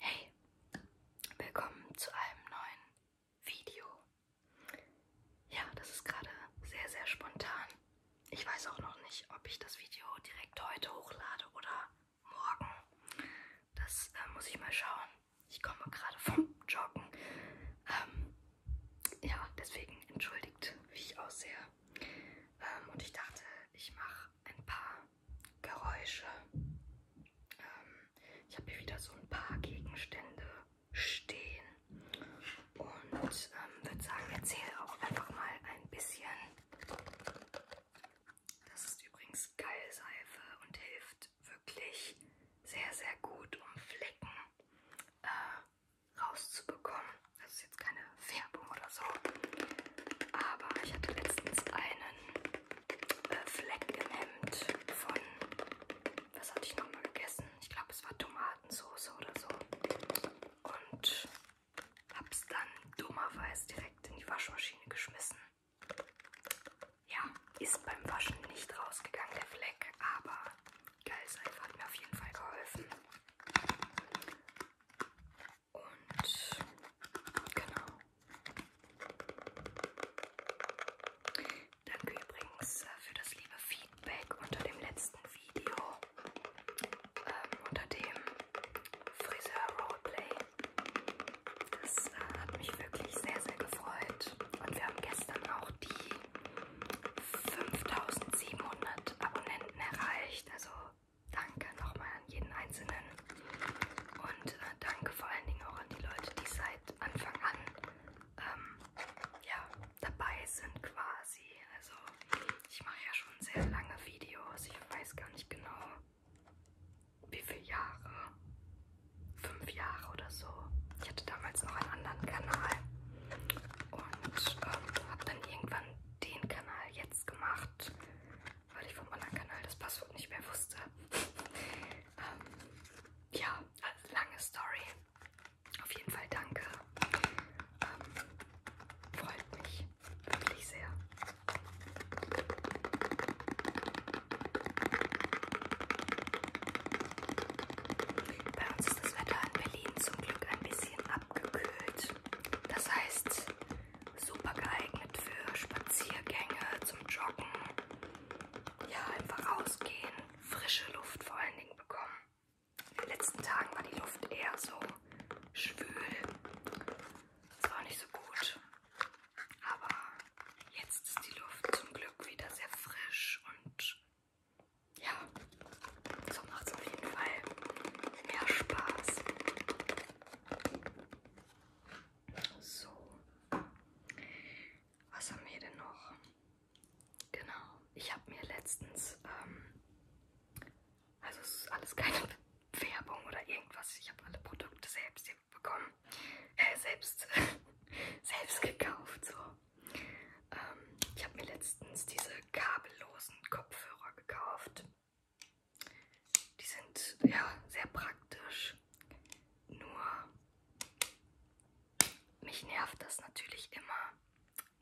Hey, willkommen zu einem neuen Video. Ja, das ist gerade sehr, sehr spontan. Ich weiß auch noch nicht, ob ich das Video direkt heute hochlade oder morgen. Das äh, muss ich mal schauen. Ich komme gerade vom Joggen. Ähm, ja, deswegen entschuldigt, wie ich aussehe. Ähm, und ich dachte, ich mache ein paar Geräusche. Ähm, ich habe hier wieder so ein paar Gegenstände stehen und ähm, würde sagen, erzähle auch einfach mal ein bisschen. Das ist übrigens Geilseife und hilft wirklich sehr, sehr gut, um Flecken äh, rauszubekommen. Das ist jetzt keine Färbung oder so. Aber ich hatte letztens einen äh, Fleck im Hemd von, was hatte ich nochmal gegessen? Ich glaube, es war Tomatensauce oder so. Und hab's dann dummerweise direkt in die Waschmaschine geschmissen. Ja, ist beim Waschen nicht rausgegangen, der Fleck, aber geil ist einfach, hat mir auf jeden Fall geholfen. Und genau. Danke übrigens äh, für das liebe Feedback unter dem letzten Video, ähm, unter dem Friseur Roleplay. Das äh, hat mich wirklich sehr, sehr gefreut. Und wir haben gestern auch die 5700 Abonnenten erreicht. Also danke nochmal an jeden Einzelnen. Und äh, danke vor allen Dingen auch an die Leute, die seit Anfang an ähm, ja, dabei sind quasi. Also ich mache ja schon sehr lange Videos. Ich weiß gar nicht genau, wie viele Jahre. Fünf Jahre oder so. Ich hatte damals noch einen anderen Kanal. Und ähm, habe dann irgendwann den Kanal jetzt gemacht, weil ich vom anderen Kanal das Passwort nicht mehr wusste. ähm, ja, also lange Story. Auf jeden Fall danke. Ähm, freut mich wirklich sehr. Bei uns ist das Wetter in Berlin zum Glück ein bisschen abgekühlt. Das heißt, super geeignet für Spaziergänge, zum Joggen. Ja, einfach rausgehen, frische Luft vor allen Dingen bekommen. In den letzten Tagen war die Luft eher so schwül. Das war auch nicht so gut. Aber jetzt ist die Luft zum Glück wieder sehr frisch und ja, so macht es auf jeden Fall mehr Spaß. So, was haben wir denn noch? Genau, ich habe mir letztens, ähm, also es ist alles keine Werbung oder irgendwas, ich habe alle Produkte selbst bekommen, äh, selbst, selbst gekauft, so. Ähm, ich habe mir letztens diese kabellosen Kopfhörer gekauft. Die sind ja sehr praktisch. Nur mich nervt das natürlich immer,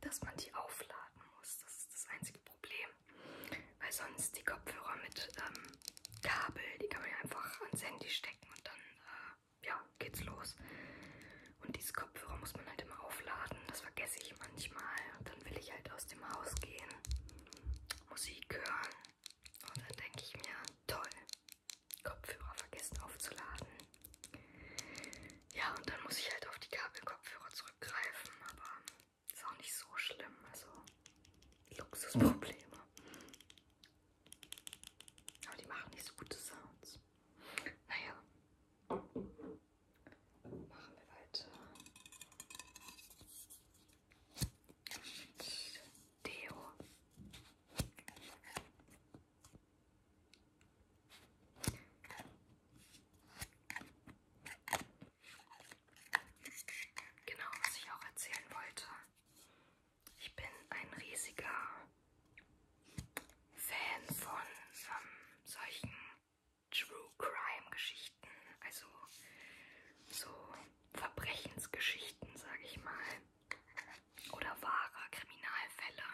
dass man die aufladen muss. Das ist das einzige Problem. Weil sonst die Kopfhörer mit ähm, Kabel, die kann man ja einfach ans Handy stecken und dann äh, ja, geht's los. Und diese Kopfhörer muss man halt immer aufladen. Das vergesse ich manchmal. Und dann will ich halt aus dem Haus gehen, Musik hören. Und dann denke ich mir, toll, Kopfhörer vergessen aufzuladen. Ja, und dann muss ich halt auf die Kabelkopfhörer zurückgreifen. Aber ist auch nicht so schlimm. Also Luxusprobleme. Aber die machen nicht so gute Sounds. Naja. Machen wir weiter. Mit Deo. Genau, was ich auch erzählen wollte. Ich bin ein riesiger Fan von ähm, solchen True Crime Geschichten, also so Verbrechensgeschichten, sage ich mal, oder wahre Kriminalfälle.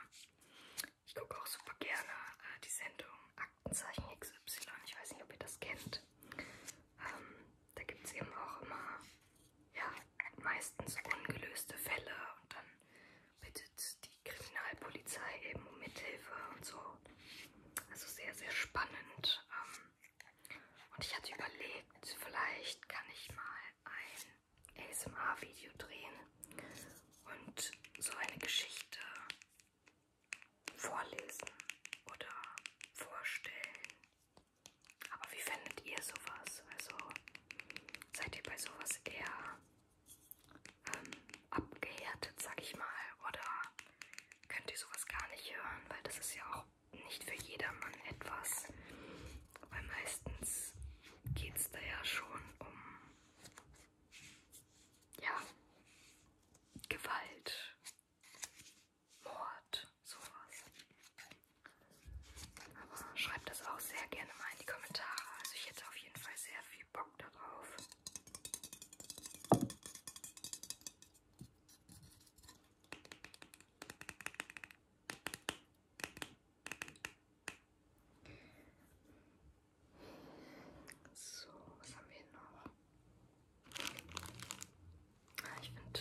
Ich gucke auch super gerne äh, die Sendung Aktenzeichen XY. Ich weiß nicht, ob ihr das kennt. Ähm, da gibt es eben auch immer ja, meistens ungelöste Fälle und dann bittet die Kriminalpolizei eben um Mithilfe und so. Also sehr, sehr spannend. Ähm, und ich hatte überlegt, vielleicht kann ich mal ein ASMR-Video drehen und so eine Geschichte vorlesen oder vorstellen aber wie findet ihr sowas? Also seid ihr bei sowas eher ähm, abgehärtet, sag ich mal? Oder könnt ihr sowas gar nicht hören? Weil das ist ja auch nicht für jedermann etwas. Weil meistens geht es da ja schon um ja, Gewalt, Mord, sowas. Schreibt das auch sehr gerne mal in die Kommentare. Also ich hätte auf jeden Fall sehr viel Bock darauf. So, was haben wir hier noch? Ah, ich finde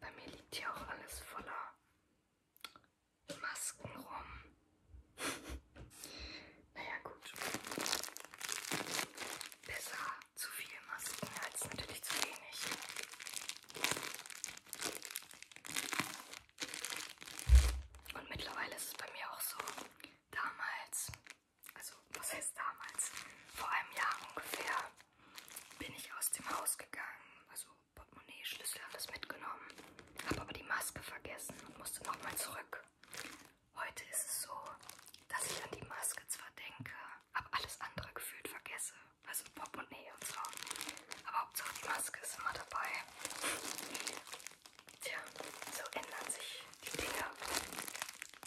Bei mir liegt hier auch alles voller Masken rum. naja, gut. Besser zu viel Masken als natürlich zu wenig. Und mittlerweile ist es bei mir auch so, damals, also was heißt damals, vor einem Jahr ungefähr, bin ich aus dem Haus gegangen. Also Portemonnaie, Schlüssel, alles mitgenommen. Habe aber die Maske vergessen und musste nochmal zurück. Heute ist es so, dass ich an die Maske zwar denke, aber alles andere gefühlt vergesse. Also Portemonnaie und so. Aber Hauptsache die Maske ist immer dabei. Tja, so ändern sich die Dinge.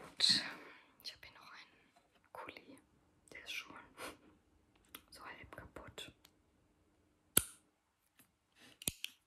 Gut, ich habe hier noch einen Kuli, der ist schon so halb kaputt.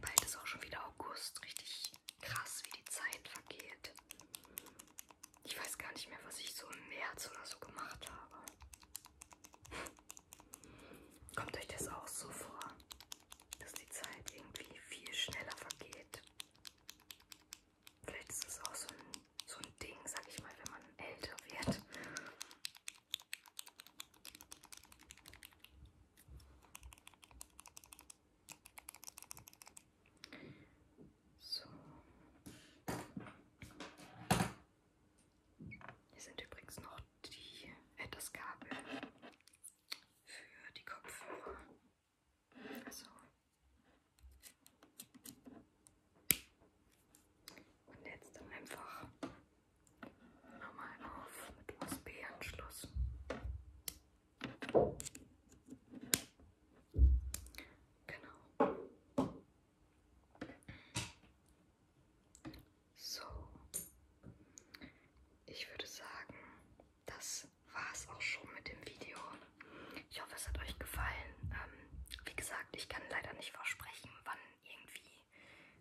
Bald ist auch schon wieder August. Richtig krass, wie die Zeit vergeht. Ich weiß gar nicht mehr, was ich so im März oder so gemacht habe. Kommt euch das auch so vor? dass die Zeit irgendwie viel schneller vergeht. Vielleicht ist es auch so ein, so ein Ding, sag ich mal, wenn man älter wird. So. Hier sind übrigens noch die, äh, das Kabel für die Kopfhörer. Also und jetzt dann einfach nochmal auf mit USB-Anschluss. Genau. So, ich würde sagen, das war es auch schon mit dem Video. Ich hoffe, es hat euch gefallen. Ähm, wie gesagt, ich kann leider nicht versprechen, wann irgendwie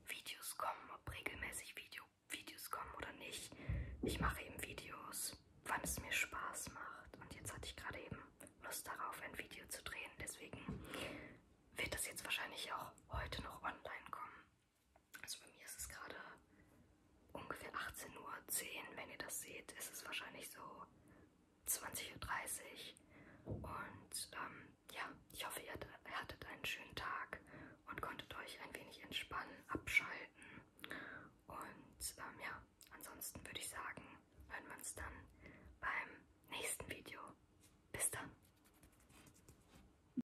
Videos kommen, ob regelmäßig Video Videos kommen oder nicht. Ich mache eben Videos, wann es mir Spaß macht. Und jetzt hatte ich gerade eben Lust darauf, ein Video zu drehen. Deswegen wird das jetzt wahrscheinlich auch heute noch online kommen. Also bei mir ist es gerade ungefähr 18.10 Uhr. Wenn ihr das seht, ist es wahrscheinlich so 20.30 Uhr. Und ähm, ja, ich hoffe, ihr hattet einen schönen Tag und konntet euch ein wenig entspannen, abschalten. Und ähm, ja, ansonsten würde ich sagen, hören wir uns dann beim nächsten Video. Bis dann!